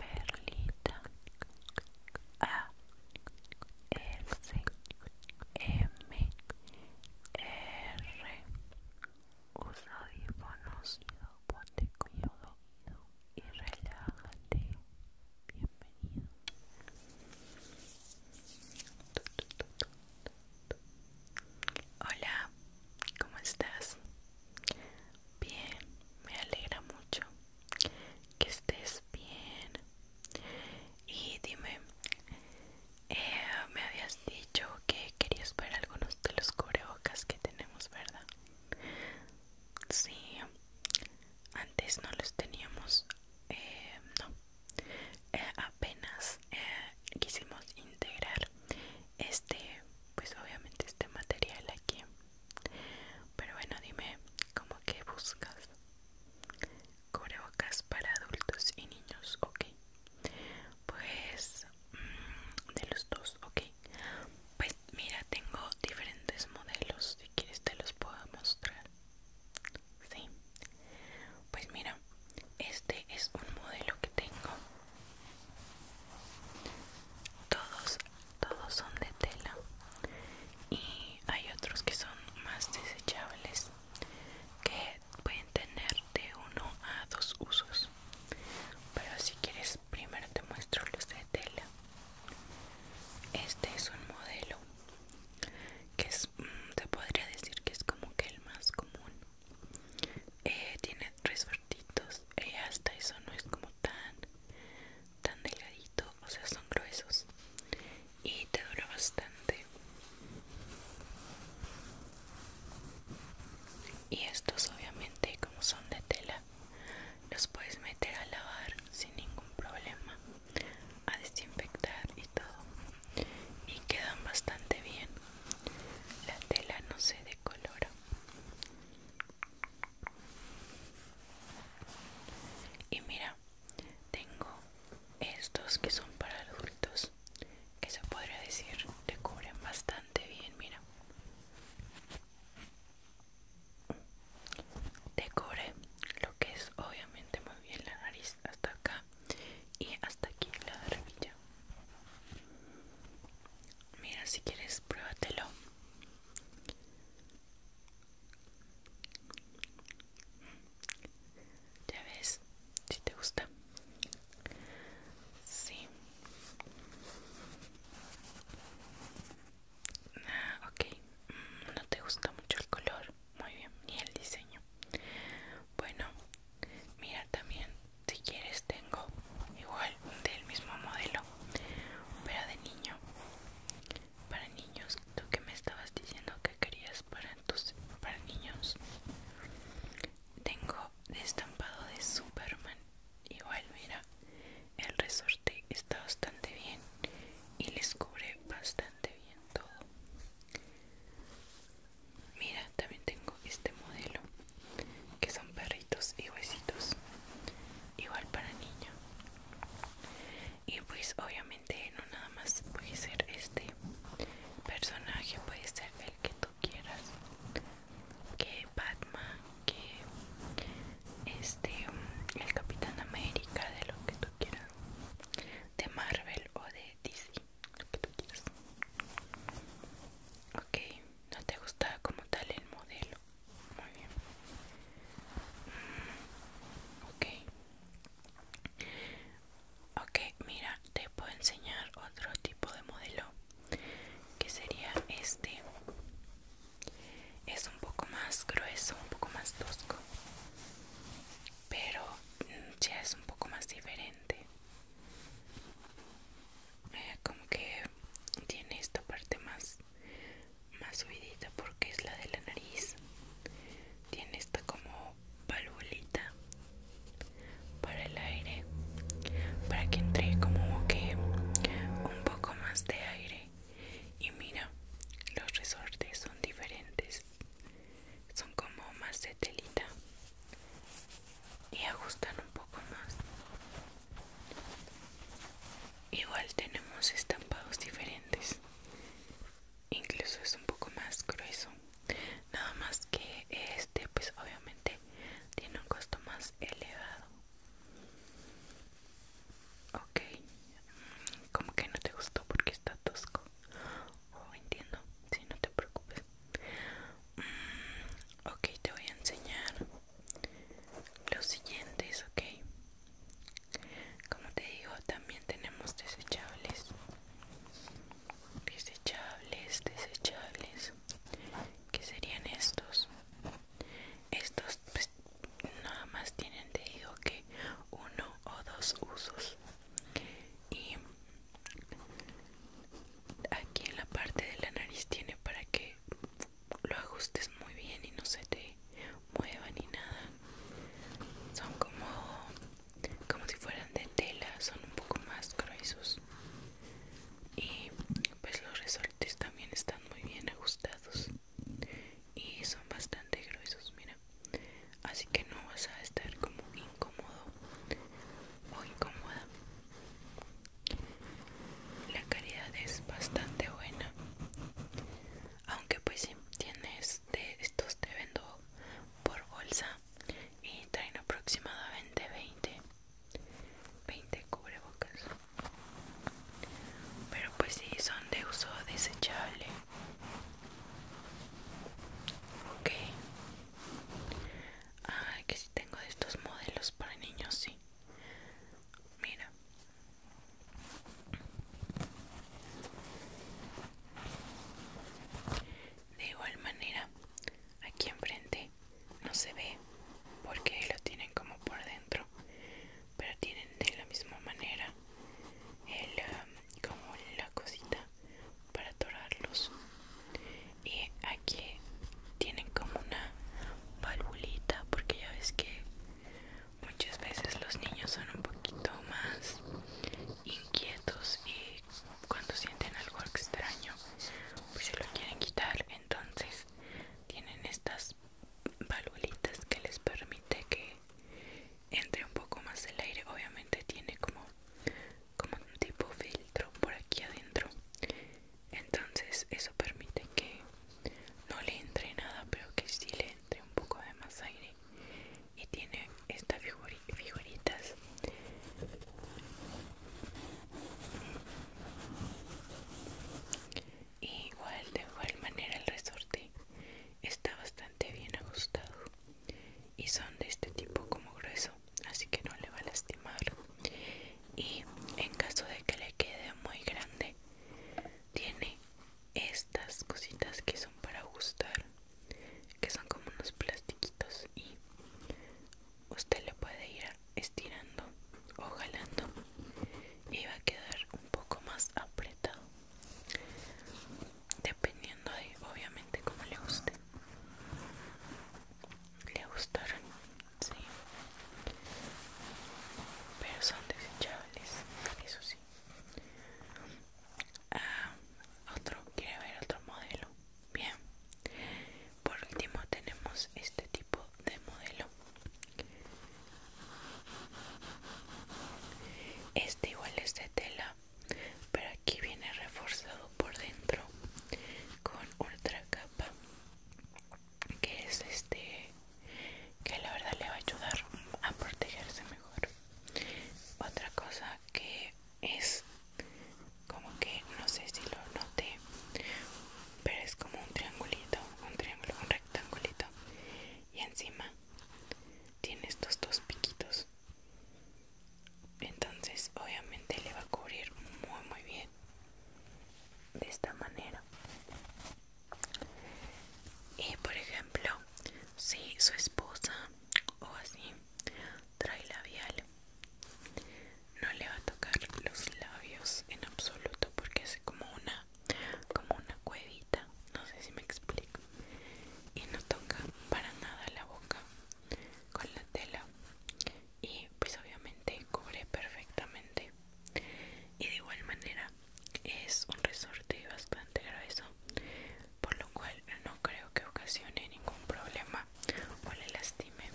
Perlita A S M R Usa audífonos, ponte cómodo y relájate. Bienvenido. Hola, ¿cómo estás? Bien, me alegra mucho que estés bien. Y dime, eh, me habías dicho que querías ver algunos de los cubrebocas que tenemos, ¿verdad? Sí, antes no los teníamos, eh, no, eh, apenas quisimos integrar este pues obviamente este material aquí pero bueno dime como que buscas cubrebocas para adultos y niños ok pues mm, de los dos ok pues mira tengo diferentes modelos si quieres te los puedo mostrar sí pues mira este es un modelo que tengo todos, todos son de tela y hay otros que son más desechables que pueden tener de uno a dos usos. Pero si quieres primero te muestro los de tela. Este es un modelo que es, te mm, podría decir que es como que el más común eh, tiene tres Y y eh, hasta eso no es como tan tan delgadito o sea son gruesos y te dura bastante y estos obviamente como son de tela los puedes meter a lavar sin ningún problema a desinfectar y todo y quedan bastante bien la tela no se decolora y mira tengo estos que son para adultos que se podría decir te cubren bastante bien mira te cubre lo que es obviamente muy bien la nariz hasta acá y hasta aquí la barbilla mira si quieres pruébatelo ya ves si te gusta sí ah, mm, no te gusta mucho el color muy bien ni el diseño bueno mira también si quieres tengo igual del mismo modelo pero de niño para niños tú que me estabas diciendo que querías para tus para niños tengo de estampado de superman igual mira el resorte está bastante bien y les cubre bastante bien todo Mira, también tengo este modelo que son perritos y huesitos, igual para niño. Y pues obviamente no nada más puede ser este personaje, puede ser el que tú quieras, que Batman, que este el Capitán América, de lo que tú quieras, de Marvel o de DC lo que tú quieras. Ok, no te gusta como tal el modelo. Muy bien. Mm, ok. Ok, mira, te puedo enseñar otro tipo de modelo que sería este. Es un poco más grueso, un poco más tosco pero mm, ya es un poco más diferente eh, como que tiene esta parte más más subidita porque es la de la nariz tiene esta como valvulita para el aire para que entre como que un poco más de aire y mira los resortes son diferentes son como más de telita y ajustan un poco más igual tenemos estampados diferentes incluso es un poco más grueso nada más que este pues obviamente tiene un costo más elevado ok mm, como que no te gustó porque está tosco oh, entiendo, si no te preocupes. Mm, ok, te voy a enseñar los siguientes, ok. Como te digo, también tenemos desechables. Desechables, desechables. Que serían estos? Estos pues nada más tienen, te digo que uno o dos usos y aquí en la parte de la nariz tiene para que lo ajustes muy bien y no se te mueva ni nada son como como si fueran de tela son un poco más gruesos y pues los resortes también están muy bien ajustados y son bastante gruesos mira así que no vas a estar como incómodo o incómoda la calidad es bastante buena aunque pues si tienes de estos te vendo por bolsa y traen aproximadamente 20 20 cubrebocas pero pues si son de uso desechable Ok. Ah, que si sí tengo de estos modelos para niños, sí. Mira. De igual manera, aquí enfrente no se ve porque lo tienen como por dentro pero tienen de la misma manera el, um, como la cosita para atorarlos y aquí tienen como una valvulita porque ya ves que muchas veces los niños son un poquito más inquietos y cuando sienten algo extraño pues se lo quieren quitar entonces tienen estas valvulitas que les permite que entre un poco más el aire obviamente tiene como como un tipo filtro por aquí adentro entonces eso permite que no le entre nada pero que sí le entre un poco de más aire y tiene estas figuritas igual de igual manera el resorte está bastante bien ajustado y son de este tipo como grueso así que no le va a lastimar y en caso de que le quede muy grande tiene estas cositas que son para ajustar que son como unos plastiquitos y usted le puede ir estirando o jalando iba a quedar un poco más apretado dependiendo de obviamente como le guste le gustaron sí pero son desechables eso sí ah, otro quiere ver otro modelo bien por último tenemos este tipo de modelo este igual es de tela, pero aquí viene reforzado por dentro con otra capa que es este que la verdad le va a ayudar a protegerse mejor. Otra cosa que es como que no sé si lo noté pero es como un triangulito, un triángulo, un rectangulito y encima tiene estos dos piquitos entonces obviamente le va a cubrir muy muy bien de esta manera y por ejemplo si su esposa o así trae labial no le va a tocar los labios en absoluto porque es como una como una cuevita no sé si me explico y no toca para nada la boca con la tela y pues obviamente cubre perfectamente y de igual manera es un resorte bastante grueso por lo cual no creo que ocasione ningún problema o le lastime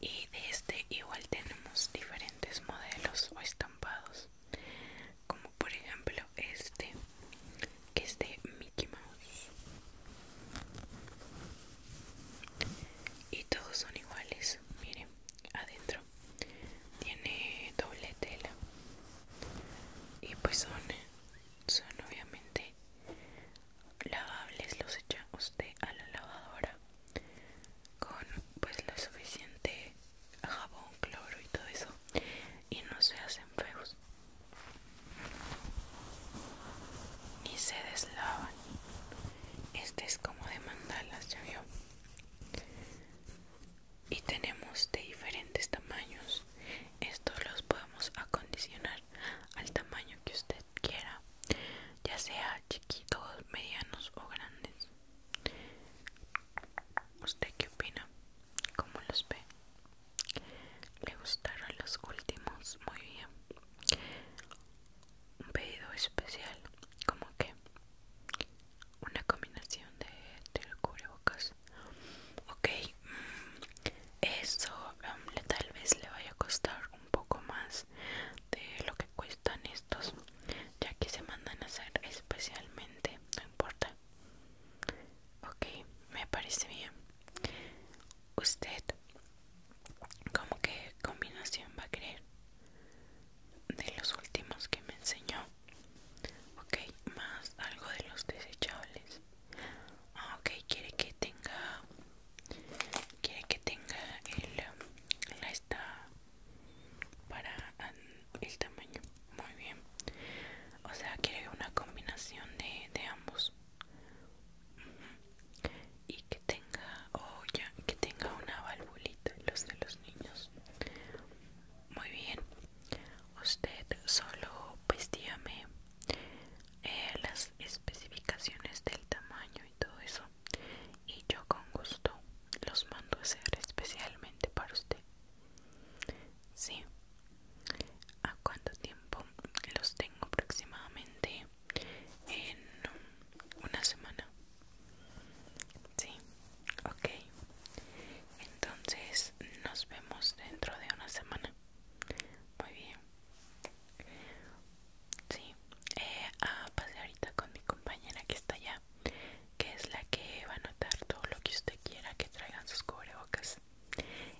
y de este igual tenemos diferentes modelos o estampados como por ejemplo este que es de Mickey Mouse y todos son iguales miren adentro tiene doble tela y pues son son obviamente lavables los echa usted a la lavadora con pues lo suficiente jabón, cloro y todo eso y no se hacen feos ni se deslavan este es como de mandalas ya vio y tenemos de diferentes tamaños estos los podemos acondicionar al tamaño que usted quiera, ya sea chiquitos, medianos o grandes. ¿Usted qué opina? ¿Cómo los ve? ¿Le gustaron los últimos? Muy bien. Un pedido especial, como que una combinación de, del cubrebocas. Ok, mm, eso em, tal vez le vaya a costar un poco más de lo que cuestan estos ya que se mandan a hacer especialmente no importa ok me parece bien usted como que combinación va a querer de los últimos que me enseñó ok más algo de los desechables Ah, ok, quiere que tenga. Quiere que tenga el, la esta para el tamaño. Muy bien. O sea, quiere una combinación de, ambos. Y que tenga, o oh, ya, que tenga una valvulita, los de los niños. Muy bien. Usted solo pues dígame eh, las especificaciones del tamaño y todo eso y yo con gusto los mando a hacer especialmente para usted sí a cuánto tiempo los tengo aproximadamente en una semana sí ok entonces nos vemos dentro de una semana muy bien. Sí, eh, A ah, pasear ahorita con mi compañera que está allá, que es la que va a anotar todo lo que usted quiera que traigan sus cubrebocas.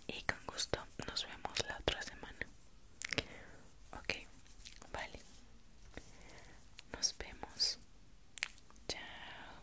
Y con gusto nos vemos la otra semana. Ok, vale. Nos vemos. Chao.